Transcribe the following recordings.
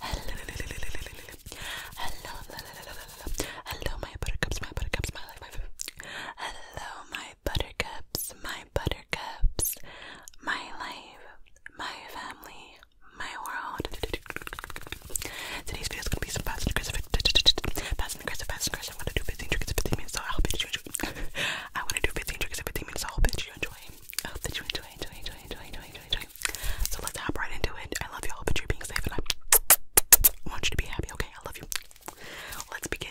Hello, hello, hello, my buttercups, my buttercups, my life, my food. Hello, my buttercups, my buttercups, my life, my family, my world. Today's video is gonna be some fast and aggressive, fast and aggressive, fast and aggressive. I'm gonna do 15 tricks in 15 minutes, so I hope that you enjoy. I'm gonna do 15 tricks in 15 minutes, so I hope that you enjoy. I hope that you enjoy, enjoy, enjoy, enjoy, enjoy, enjoy, enjoy, so let's hop right into it. I love you all, but you're being safe, and I want you to be happy. Okay, I love you. Let's begin.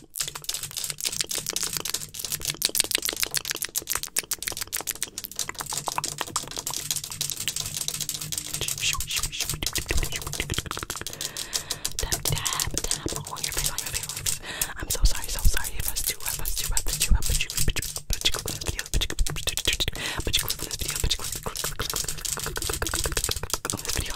Tap, tap, tap on your face, on your face, on your face. I'm so sorry, so sorry if that's too rough, that's too rough, that's too rough, but you but you but you click on this video, but you click on this video, but you click on this video, but you click on this video,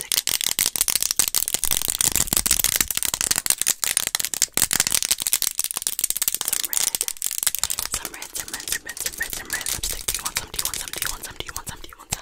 plastic. Some red. Some red, some red, some red, some red, some red lipstick. Do you want some? Do you want some? Do you want some? Do you want some? Do you want some?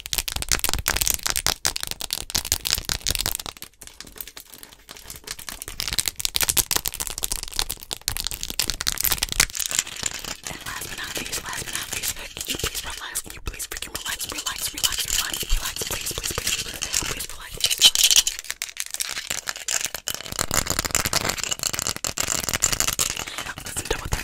and last but not least, last but not least, can you please relax? Can you please freaking relax? Relax, relax, relax, relax, please, please, please, please, please relax. Listen to what the